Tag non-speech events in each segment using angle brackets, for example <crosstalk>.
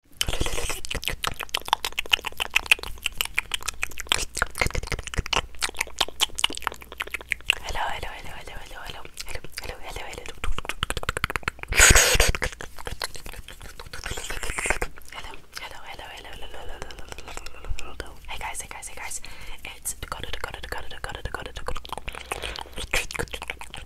hello, hello, hello, hello, hello, hello, hello, hello, hello, hello. Hello, hello, hello, hello, hello, hello, hello, hello, hello. Hey guys, hey guys, hey guys. It's got it, got it, got it, got it, got it, got it.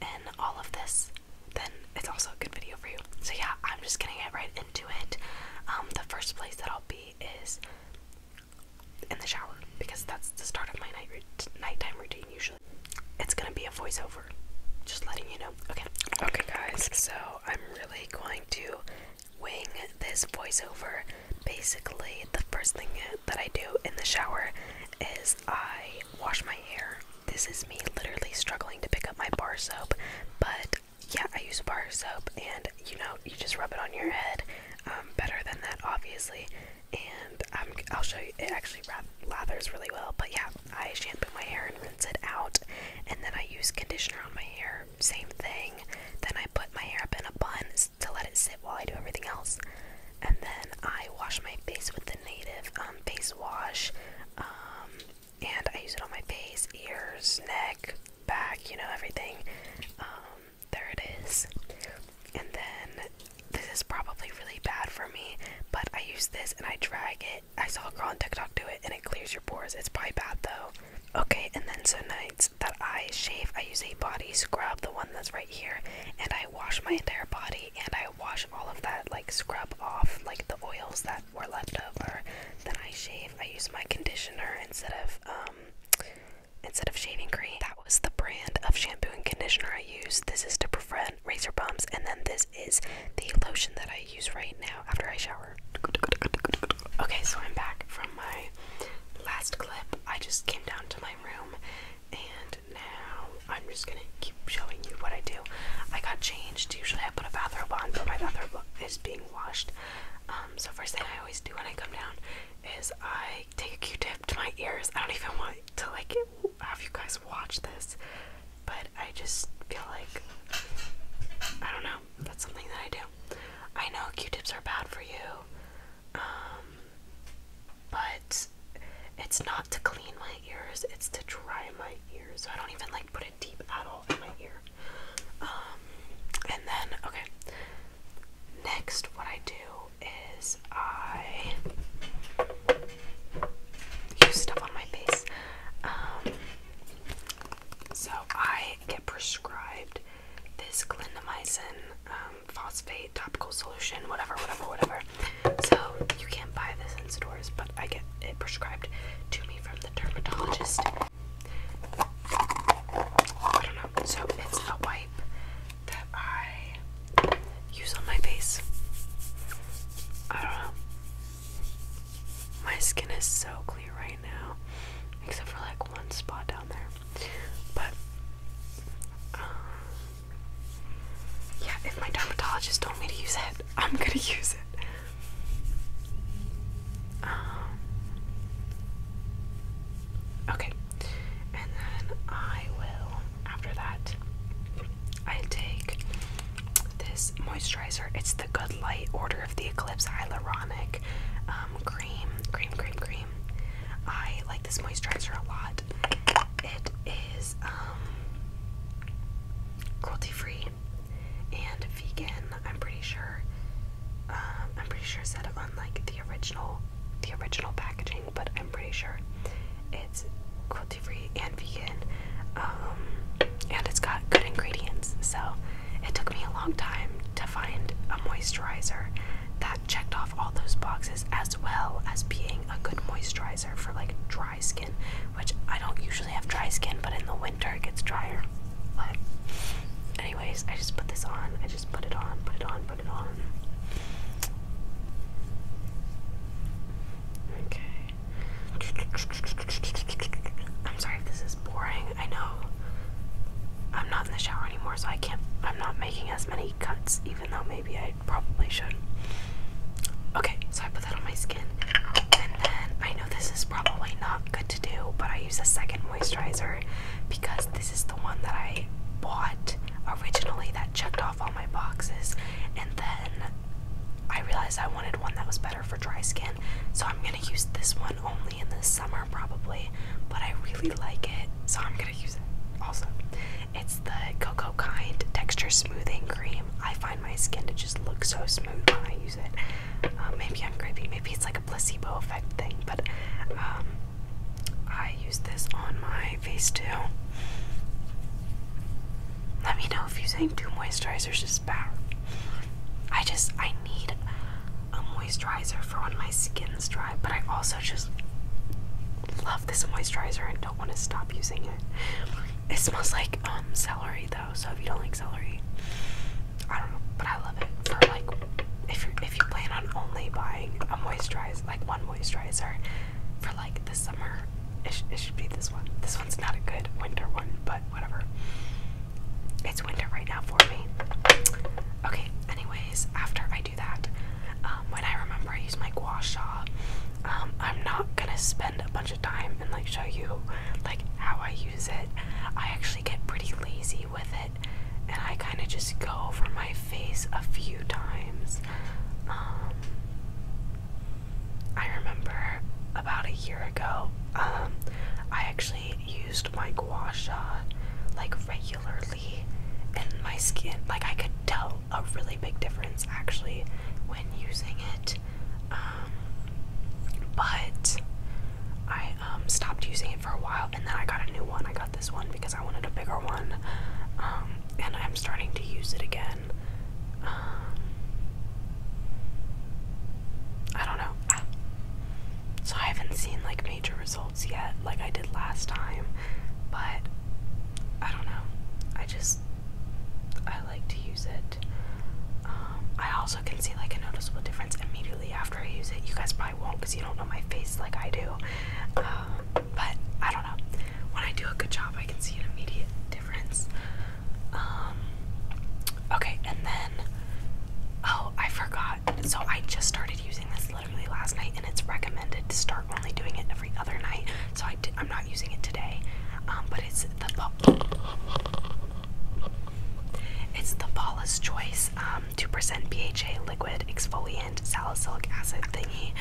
and all of this, then it's also a good video for you. So yeah, I'm just gonna get right into it. Um, the first place that I'll be is in the shower because that's the start of my night time routine usually. It's gonna be a voiceover, just letting you know. Okay. Okay, guys. So I'm really going to wing this voiceover. Basically, the first thing that I do in the shower is I wash my hair. This is me literally struggling to pick up my bar soap, but yeah, I use bar soap, and you know, you just rub it on your head. Um, better than that, obviously. And I'll show you, it actually lathers really well. But yeah, I shampoo my hair and rinse it out, and then I use conditioner on my hair. Same thing. Then I put my hair up in a bun to let it sit while I do everything else. And then I wash my face with the Native um, face wash, um, and I use it on my face, ears, neck, back, you know, everything. Um, there it is. And then this is probably really bad for me, but I use this and I drag it. I saw a girl on TikTok do it and it clears your pores. It's probably bad though. Okay, and then so nights that I shave, I use a body scrub, the one that's right here and I wash my entire body and I wash all of that like scrub off like the oils that were left over. Then I shave. I use my conditioner instead of um, instead of shaving cream. That was the brand of shampoo and conditioner I used. This is to prevent razor bumps and then this is the lotion that I use right now after I shower. Okay, so I'm back from my last clip. I just came down to my room. And now I'm just gonna keep showing you what I do. I got changed. Usually I put a bathrobe on, but my bathrobe is being washed. Um, so first thing I always do when I come down is I take a Q-tip to my ears. I don't even want to like have you guys watch this, but I just feel like I don't know. That's something that I do. I know Q-tips are bad for you. Um, but it's not to clean my ears, it's to dry my ears. So I don't even like put it deep at all in my ear. Um, and then, okay. Next, what I do is I use stuff on my face. Um, so I get prescribed this clindamycin um, phosphate topical solution, whatever, whatever, whatever. So you can't buy this in stores, but I get it prescribed to me from the dermatologist. I don't know. So it's a wipe that I use on my face. I don't know. My skin is so clear right now, except for like one spot down there. But uh, yeah, if my dermatologist told me to use it, I'm gonna <laughs> use it. Um, okay, and then I will. After that, I take this moisturizer. It's the Good Light Order of the Eclipse Hyaluronic um, cream, cream, cream, cream. I like this moisturizer a lot. It is um, cruelty free and vegan. I'm pretty sure. Um, I'm pretty sure said it on like the original, the original packaging, but I'm pretty sure it's cruelty free and vegan. Um, and it's got good ingredients, so it took me a long time to find a moisturizer that checked off all those boxes as well as being a good moisturizer for like dry skin, which I don't usually have dry skin, but in the winter it gets drier. But, anyways, I just put this on. I just put it on, put it on, put it on. Okay. I'm sorry if this is boring. I know I'm not in the shower anymore, so I can't. I'm not making as many cuts, even though maybe I probably should. Okay, so I put that on my skin, and then I know this is probably not good to do, but I use a second moisturizer because this is the one that I bought originally that checked off all my boxes, and then I realized I wanted one that was better for dry skin. So I'm gonna use this one only in the summer probably, but I really like it, so I'm gonna use it also. It's the Cocoa Kind Texture Smoothing Cream. I find my skin to just look so smooth when I use it. Um, maybe I'm crazy, maybe it's like a placebo effect thing, but um, I use this on my face too. Let me know if you think two moisturizers is better. I just I need a moisturizer for when my skin's dry, but I also just love this moisturizer and don't want to stop using it. It smells like um, celery though, so if you don't like celery, I don't know, but I love it for like if you if you plan on only buying a moisturizer like one moisturizer for like the summer it, should be this one. This one's not a good winter one, but whatever. It's winter right now for me. Okay, anyways, after I do that, um, when I remember I use my gua sha, um, I'm not gonna spend a bunch of time and like show you like how I use it. I actually get pretty lazy with it and I kind of just go over my face a few times. Um, I remember about a year ago, um, I actually used my gua sha like regularly, and my skin, like, I could tell a really big difference actually when using it. Um, but I um, stopped using it for a while, and then I got a new one. I got this one because I wanted a bigger one, and I'm starting to use it again. Um, I don't know. So I haven't seen like major results yet, like I did last time, but I don't know. I just I like to use it. Um, I also can see like a noticeable difference immediately after I use it. You guys probably won't because you don't know my face like I do. Um, but I don't know when I do a good job, I can see an immediate difference. Um, okay, and then, oh, I forgot. So I just started using this literally last night, and it's recommended to start only doing it every other night. So I am not using it today, um, but it's the it's the Paula's Choice um, 2% BHA liquid exfoliant salicylic acid thingy.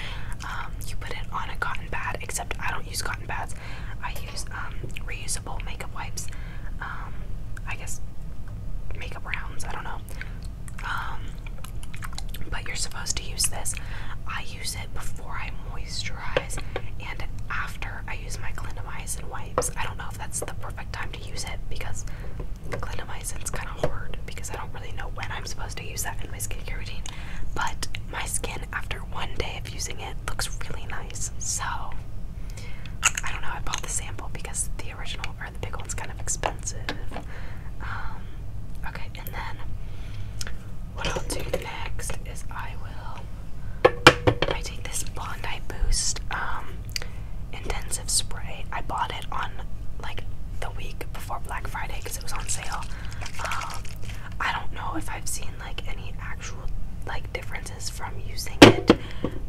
Um, you put it on a cotton pad, except I don't use cotton pads. I use um, reusable makeup wipes. Um, I guess makeup rounds, I don't know. but you're supposed to use this. I use it before I moisturize and after I use my clindamycin wipes. I don't know if that's the perfect time to use it because clindamycin's kind of hard because I don't really know when I'm supposed to use that in my skincare routine. But my skin, after one day of using it, looks really nice. So, I don't know. I bought the sample because the original or the big one's kind of expensive. Um, okay, and then what I'll do next is I will. I take this Bondi Boost um, intensive spray. I bought it on like the week before Black Friday because it was on sale. Um, I don't know if I've seen like any actual like differences from using it,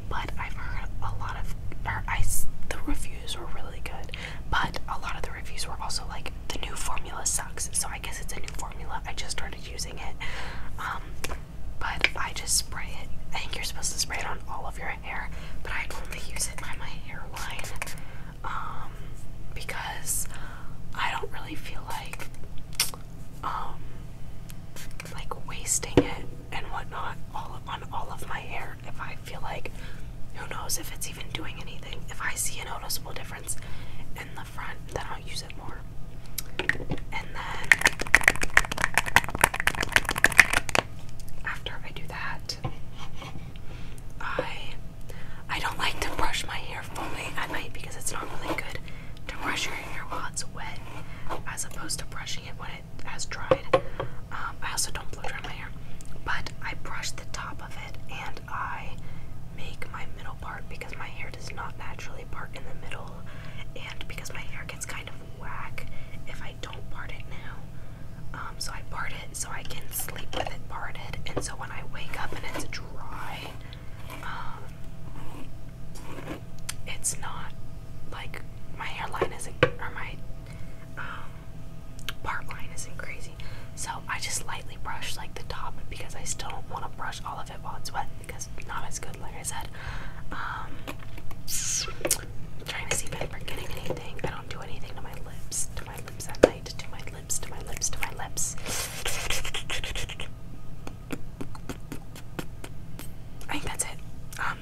but I've heard a lot of I the reviews were really good, but a lot of the reviews were also like the new formula sucks. So I guess it's a new formula. I just started using it. Um, but I just spray it. I think you're supposed to spray it on all of your hair, but I only use it on my hairline um, because I don't really feel like um, like wasting it and whatnot all on all of my hair. If I feel like, who knows if it's even doing anything. If I see a noticeable difference in the front, then I'll use it more. And then after I do that, I I don't like to brush my hair fully at night because it's not really good to brush your hair while it's wet as opposed to brushing it when it has dried. Um, I also don't blow dry my hair, but I brush the top of it and I make my middle part because my hair does not naturally part in the middle and because my hair gets kind of wack if I don't part it now. Um, so I part it so I can sleep with it parted, and so when I wake up and it's dry, um, it's not like my hairline isn't or my um, part line isn't crazy. So I just lightly brush like the top because I still don't want to brush all of it while it's wet because not as good, like I said. trying to see if I'm forgetting anything. I don't do anything to my lips, to my lips at night, to my lips, to my lips, to my lips. I think that's it. Um,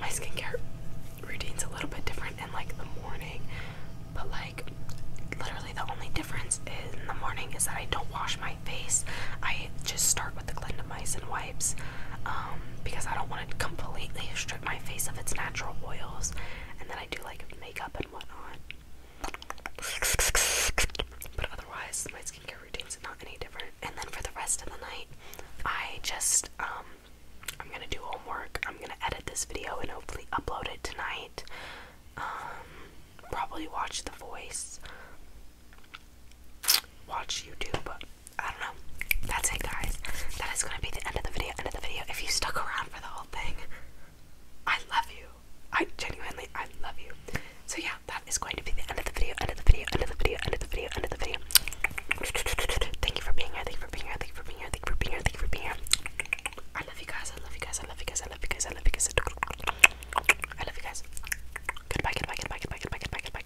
my skincare routine's a little bit different in like the morning, but like literally the only difference in the morning is that I don't wash my face. I just start with the and wipes um, because I don't want to completely strip my face of its natural oils, and then I do like makeup and whatnot. But otherwise, my skincare routine's not any different. And then for the rest of the night, I just um, I'm gonna do homework. I'm gonna edit this video and hopefully upload it tonight. Um, probably watch The Voice, watch YouTube. I don't know. That's it, guys. That is going to be the end of the video. End of the video. If you stuck around for the whole thing, I love you. I genuinely, I love you. So yeah, that is going to be the end of the video. End of the video. End of the video. End of the video. End of the video. Thank you for being here. Thank you for being here. Thank you for being here. Thank you for being here. Thank you for being here. I love you guys. I love you guys. I love you guys. I love you guys. I love you guys. I love you guys. Goodbye. Goodbye. Goodbye. Goodbye. Goodbye. Goodbye. Goodbye.